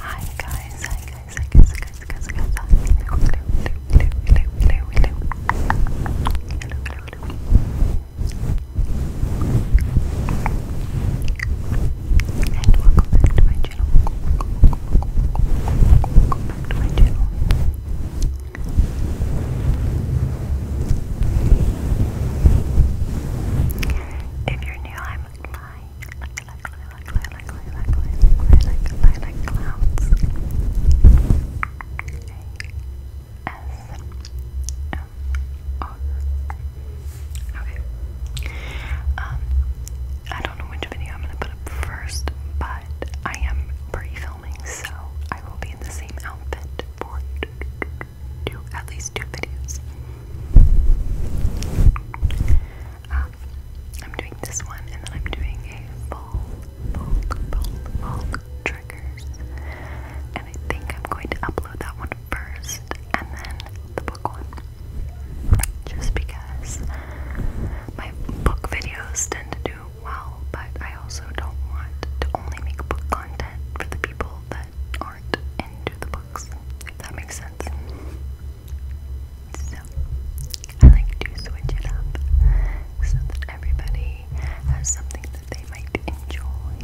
Hi guys, hi guys, hi guys, hi guys, guys, guys, guys, hello, hello, welcome back to my channel, welcome back to my channel. If you're new, I'm like like like like like like like like like like like clouds. S M O. Okay. Um, I don't know which video I'm gonna put up first, but I am pre-filming, so I will be in the same outfit for do at least two videos. Um, I'm doing this one, and then I'm doing a full, full, full, full triggers, and I think I'm going to upload that one first, and then the book one, just because my book videos tend to do well, but I also don't want to only make book content for the people that aren't into the books, if that makes sense. So, I like to switch it up so that everybody has something that they might enjoy.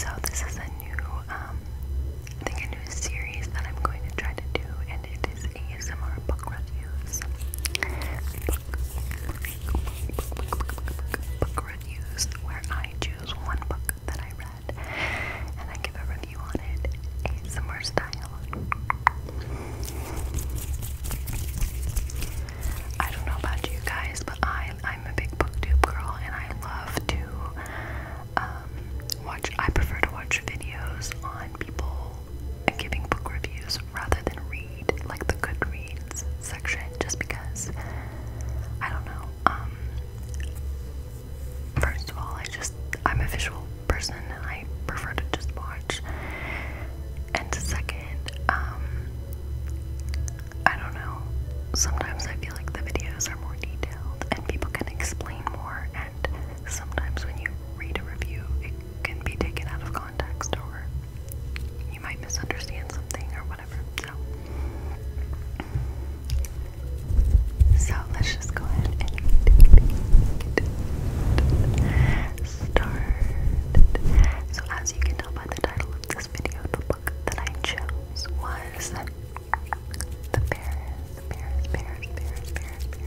So, this is a new, um, I think a new series that I'm going to try to do, and it is ASMR book reviews book reviews where I choose one book that I read and I give a review on it ASMR style. I don't know about you guys, but I I'm a big booktube girl and I love to um, watch I prefer to watch videos on people and giving book reviews rather than read like the Goodreads section just because I don't know. Um first of all I just I'm a visual person and I prefer to just watch. And second, um I don't know. Sometimes I feel like the videos are more detailed and people can explain more and sometimes when you read a review it can be taken out of context or you might misunderstand something or whatever. So so let's just go ahead and get So as you can tell by the title of this video, the book that I chose was The Bears, The Bears, Bears, Bears, Bears,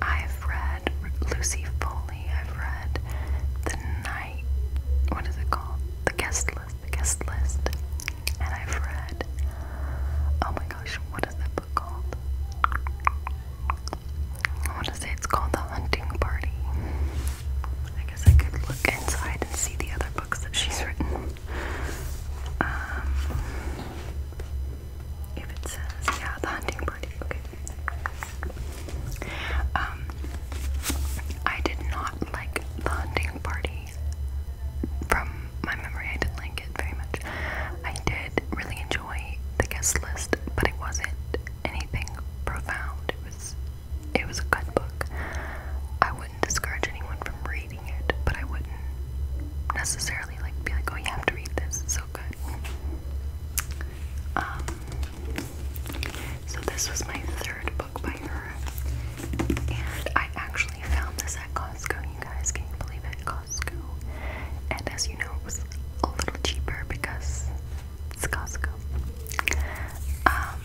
I've read Lucy Foley, I've read The Night, what is it called? The Guest List, The Guest List. And I've read, oh my gosh, what is that book called? I want to say it's called The Hunting Party. I guess I could look inside and see the other books that she's written. Um, if it says, yeah, The Hunting Party, okay. Um, I did not like The Hunting Party. From my memory, I didn't like it very much. I did really enjoy the guest list, but it wasn't anything profound. It was it was a good book. I wouldn't discourage anyone from reading it, but I wouldn't necessarily like be like, oh, you have to read this. It's so good. Um, so this was my third book by her, and I actually found this at Costco. You guys, can not believe it? Costco. And as you know, it was a little cheaper because it's Costco. Um,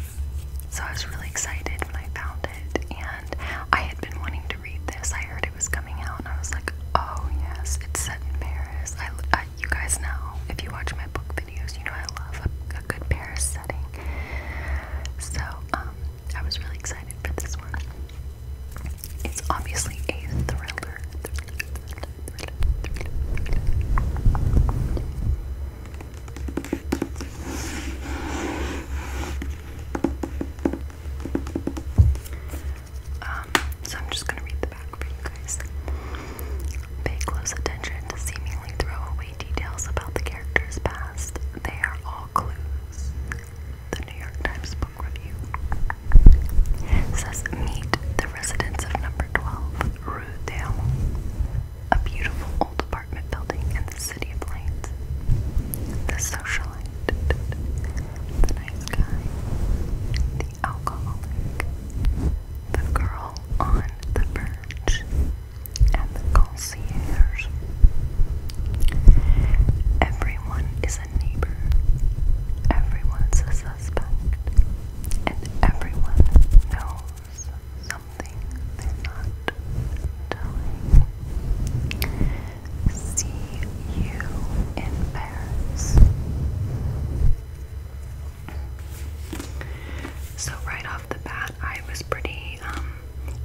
so I was really excited when I found it, and I had been wanting to read this. I heard it was coming out, and I was like, "Oh yes, it's set in Paris." I, I uh, you guys know if you watch my book videos, you know I love a, good Paris setting. So um, I was really excited for this one. It's obviously a thriller. Um, so I'm just gonna read the back for you guys. Pay close attention to seemingly throwaway details about the character's past. They are all clues. The New York Times Book Review says meet the residents of number 12. Ruedale, a beautiful old apartment building in the city of lights. The socialite, the nice guy, the alcoholic, the girl on the verge, and the concierge. Everyone is a neighbor, everyone's a suspect, and everyone knows See you in Paris. So right off the bat, I was pretty um,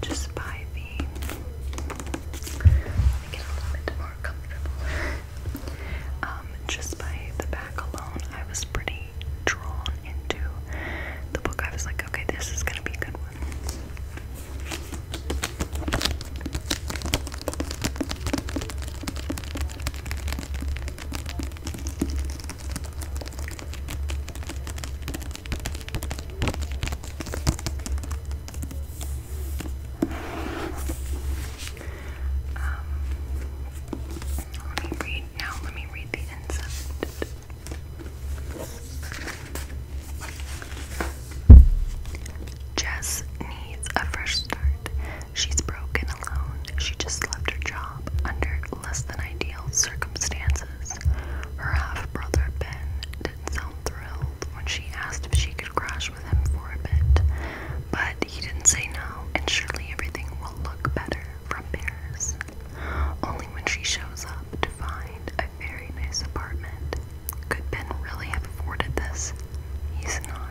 just by the let me a little bit more comfortable. Um, um, just by the back alone, I was pretty drawn into the book. I was like, okay, this is gonna be a good one. Um, let me read now. Let me read the inside. Jess needs a fresh start. She's broken alone. She just left her job under less than ideal circumstances. Her half brother Ben didn't sound thrilled when she asked if she could crash with him for a bit, but he didn't say no, and surely everything will look better from Paris, only when she shows up to find a very nice apartment. Could Ben really have afforded this? He's not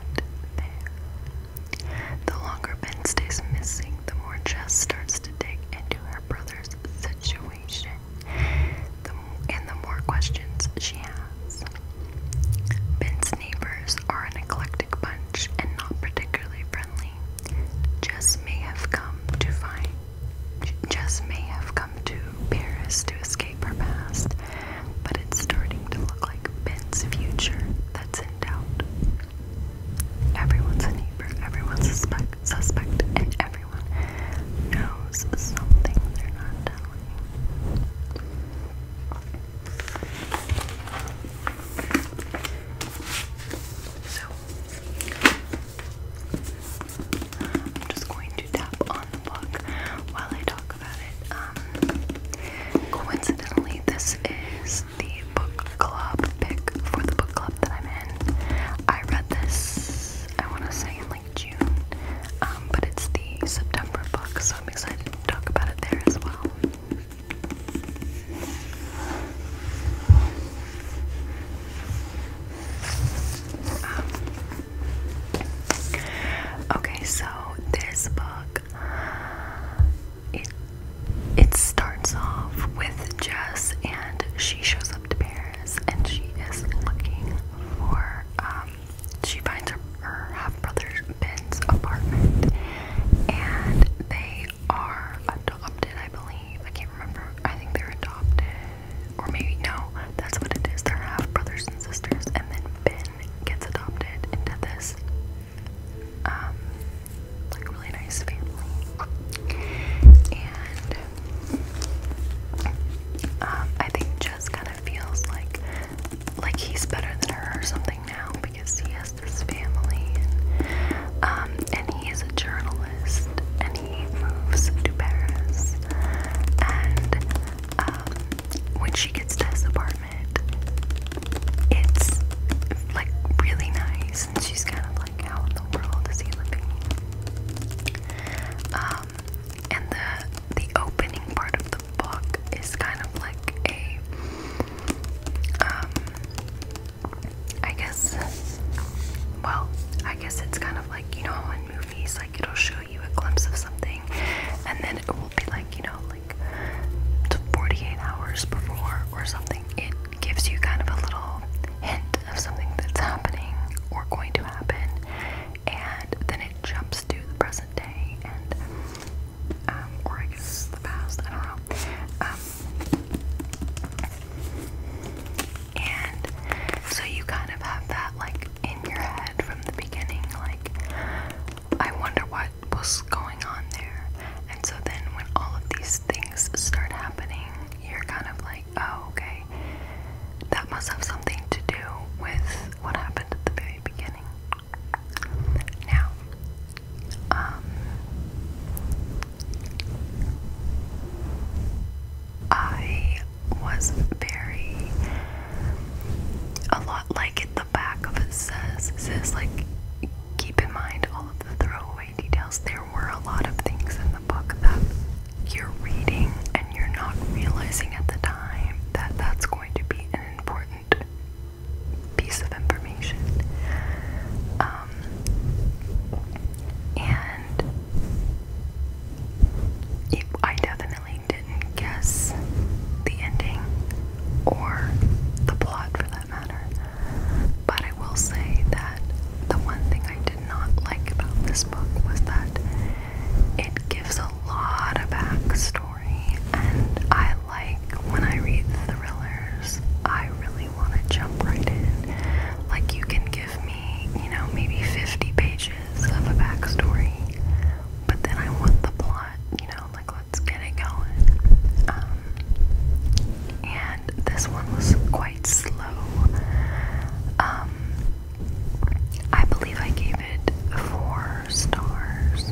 there. The longer Ben stays missing, the more Jess starts to dig into her brother's situation the, and the more questions she has. Ben's neighbors are an eclectic bunch and not particularly friendly. Jess may have come to find Jess may have come to Paris to escape her past, but it's starting to look like Ben's future that's in doubt. Everyone's a neighbor, everyone's suspect suspect, and everyone knows something they're not telling. So, I'm just going to tap on the book while I talk about it. Um, coincidentally, this is the book club pick for the book club that I'm in. I read this, I want to say, in like June, um, but it's the September book, so I'm excited to talk about it there as well. Um, okay, so this book it it starts off with Jess and she shows up to Paris and she is looking for um she finds her, her brother Ben's apartment, and they are adopted, I believe. I can't remember. I think they're adopted, or maybe no. That's what it is. They're half brothers and sisters, and then Ben gets adopted into this um, like really nice family. And um, I think Jess kind of feels like like he's better than her or something now because he has this family, and, um, he is a journalist, and he moves to Paris, and um, when she gets to his apartment, it's like really nice, and she's kind of like, how in the world is he living? Um, and the the opening part of the book is kind of like a um, I guess, well, I guess it's kind of like, you know, in movies, like it'll show you a glimpse of something, and then it will be like, you know, like 48 hours before or something. It gives you kind of a little hint of something that's happening or going to happen, and then it jumps to the present day, um, or I guess the past, I don't know. Um, and so you kind of have that like in your head from the beginning, like, I wonder what was going on there. And so then when all of these things start happening, you're kind of like, oh, okay, that must have something to do with what happened at the very beginning. Now, um, I was very a lot like at the back of it says says like keep in mind all of the throwaway details. There were a lot of things in the book that you're reading and you're not realizing at the time that that's going to be an important piece of information. Um, and I definitely didn't guess the ending or the plot for that matter. But I will say that the one thing I did not like about this book was that it gives a lot of backstory and I like when I read thrillers, I really want to jump right in. Like, you can give me, you know, maybe 50 pages of a backstory, but then I want the plot, you know, like, let's get it going. Um, and this one was quite slow. Um, I believe I gave it four stars.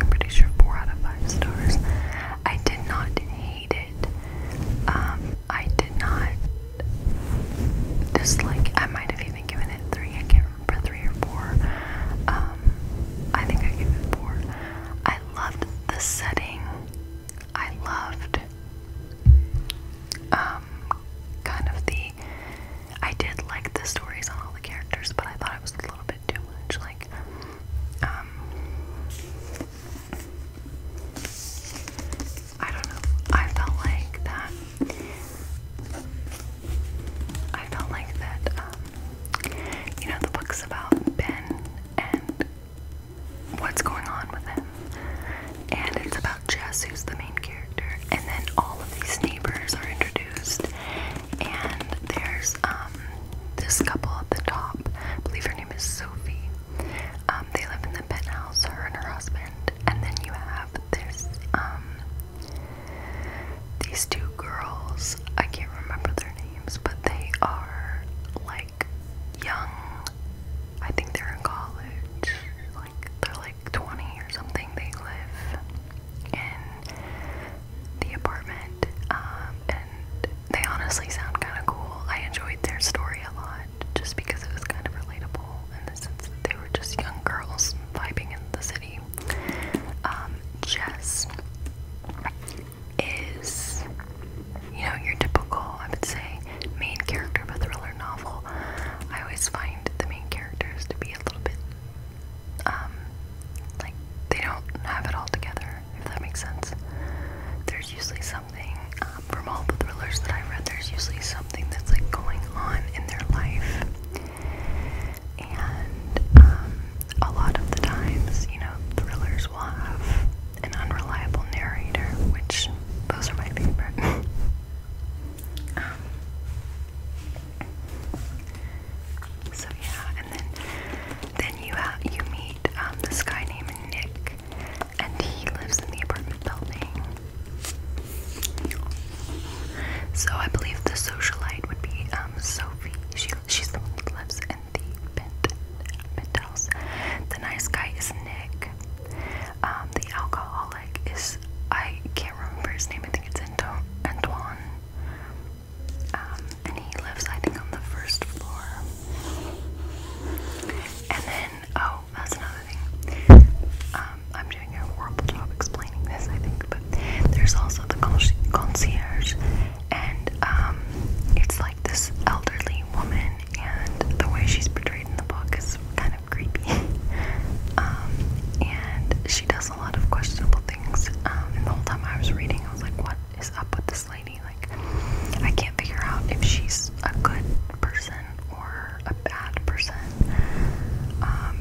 I'm pretty sure four out of five stars. I did not hate it. Um, I did not dislike. I might have even given it three. I can't remember three or four. Um, I think I gave it four. I loved the setting. I loved um kind of the I did like the stories on all the characters, but I thought it was a little bit too much. Like, um, I don't know. I felt like that. I felt like that. Um, you know, the book's about Ben and what's going on with him, and it's about Jess, who's the main character, and then all of these neighbors are introduced, and there's um, this couple at the top. believe her name is Sophie. Um, they live in the penthouse, her and her husband. And then you have this um, these two girls. I can't remember their names, but they are like young. I think they're in college. Like they're like 20 or something. They live in the apartment. Um, and they honestly sound kind of cool. I enjoyed their story a lot just because it was kind of relatable in the sense that they were just young girls vibing in the city. Um, Jess is, you know, your typical, I would say, main character of a thriller novel. I always find the main characters to be a little bit um, like they don't have it all together, if that makes sense. There's usually something um, from all the thrillers that I've read. There's usually something that's like going on in their life, and um, a lot of the times, you know, thrillers will have an unreliable narrator, which those are my favorite. Um, so yeah, then you uh, meet um, this guy named Nick, and he lives in the apartment building. So I believe the socialite would be um, Sophie. She she's the one that lives in the pent penthouse. The nice guy is Nick. Um, the alcoholic is I can't remember his name. I think it's Anto Antoine. Um, and he lives, I think, on the first floor. And then, oh, that's another thing. Um, I'm doing a horrible job explaining this, I think, but there's also the concierge, and um, it's like this elderly woman, and the way she's portrayed in the book is kind of creepy. and she does asked a lot of questionable things. Um, and the whole time I was reading, I was like, what is up with this lady? Like, I can't figure out if she's a good person or a bad person. Um,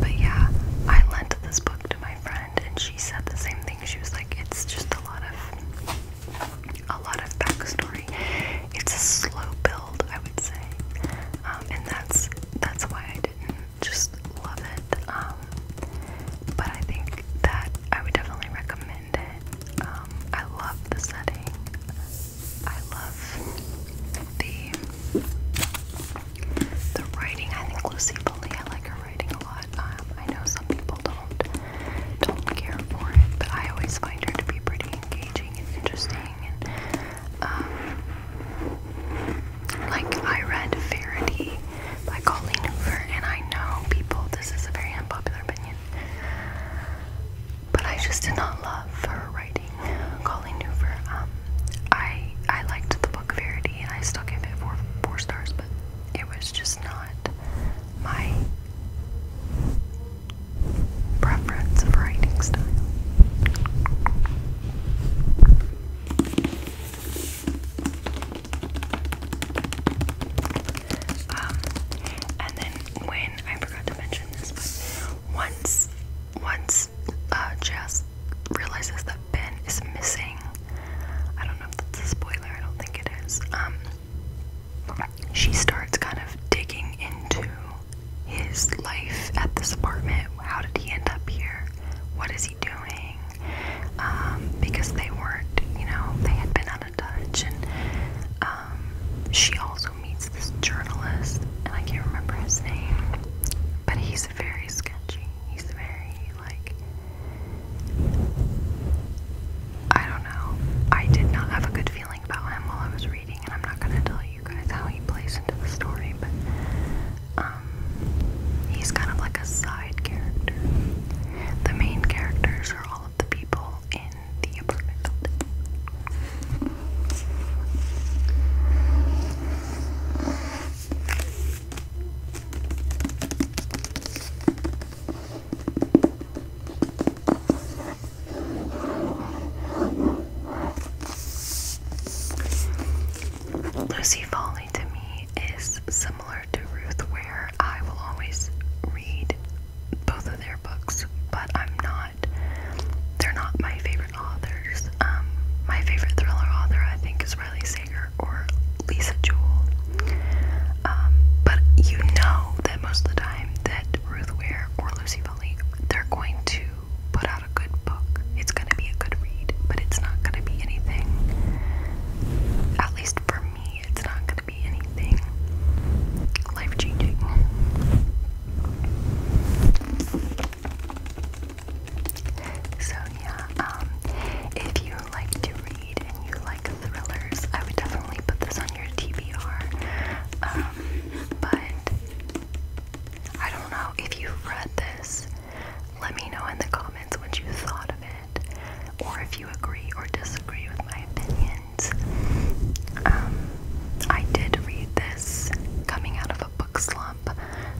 but yeah, I lent this book to my friend, and she said the same thing. She was like, it's just a lot of. A lot of backstory. It's a slow build, I would say, um, and that's that's why I didn't just love it. Um, but I think that I would definitely recommend it. Um, I love the setting. I love the the writing. I think Lucy Foley. I like her writing a lot. Um, I know some people don't don't care for it, but I always find her to be pretty engaging and interesting. Um, like I read Verity by Colleen Hoover, and I know people, this is a very unpopular opinion, but I just did not love her writing. Colleen Hoover, um, I I liked the book Verity, and I still gave it four four stars, but it was just not my preference of writing style. Um, and then when I forgot to mention this, but once once uh, Jess realizes that Ben is missing, I don't know if that's a spoiler. I don't think it is. Um, she starts kind of digging into his life at this apartment. How did he end up here? What is he doing? Um, because they weren't, you know, they had been out of touch. And um, she also meets this journalist, and I can't remember his name, but he's very sketchy. He's very, like, I don't know. I did not have a good feeling about him while I was reading, and I'm not gonna tell you guys how he plays into the story, but um, he's kind of like a side character. The main characters are all of the people in the apartment building. Lucy Foley to me is similar to Ruth, where I will always read both of their books, but I'm not, they're not my favorite authors. Um, my favorite thriller author, I think, is Riley Sager or Lisa Jewell. Um, but you know that most of the time that Ruth Ware or Lucy Foley, they're going to put out a good book. It's going to be a good read, but it's not going to be anything. At least for me, it's not going to be anything life changing. So, um, if you like to read and you like thrillers, I would definitely put this on your TBR. Um, but I don't know if you've read this. Let me know in the comments what you thought of it, or if you agree or disagree with my opinions. Um, I did read this coming out of a book slump,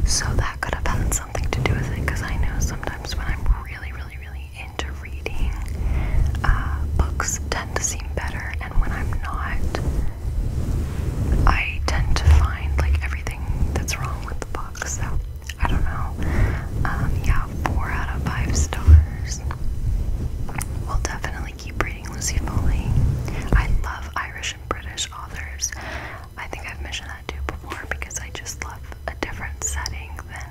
so that could have had something to do with it because I know sometimes when I'm really, really, really into reading, uh, books tend to seem better, and when I'm not, I tend to find like everything that's wrong with the book, so I don't know. Um, yeah, four out of five stars. We'll definitely keep reading Lucy Foley. I love Irish and British authors. I think I've mentioned that too before because I just love a different setting than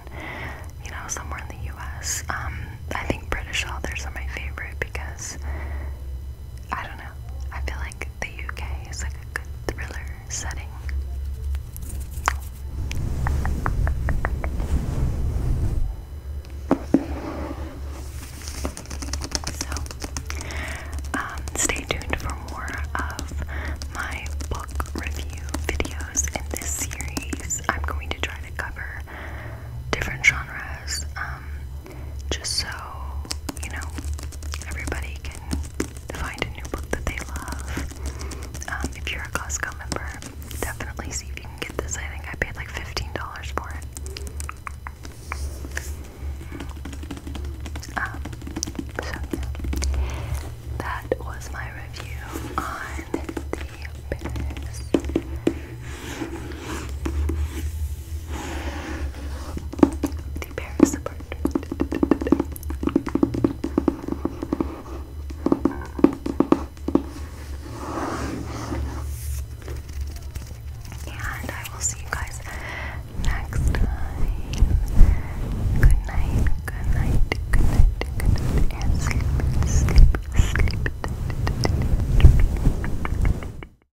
you know somewhere in the U.S. Um, I think British authors are my favorite because I don't know. I feel like the UK is like a good thriller setting. So, um, stay tuned for more of my book review videos in this series. I'm going to try to cover different genres. Um, just so, you know, everybody can find a new book that they love. Um, if you're a Costco member, definitely see if you can get this. I think I paid like $15 for it. Um, so that was my review on the the Paris apartment. And I will see you guys next time. Good night, good night, good night, good night, and sleep, sleep, sleep.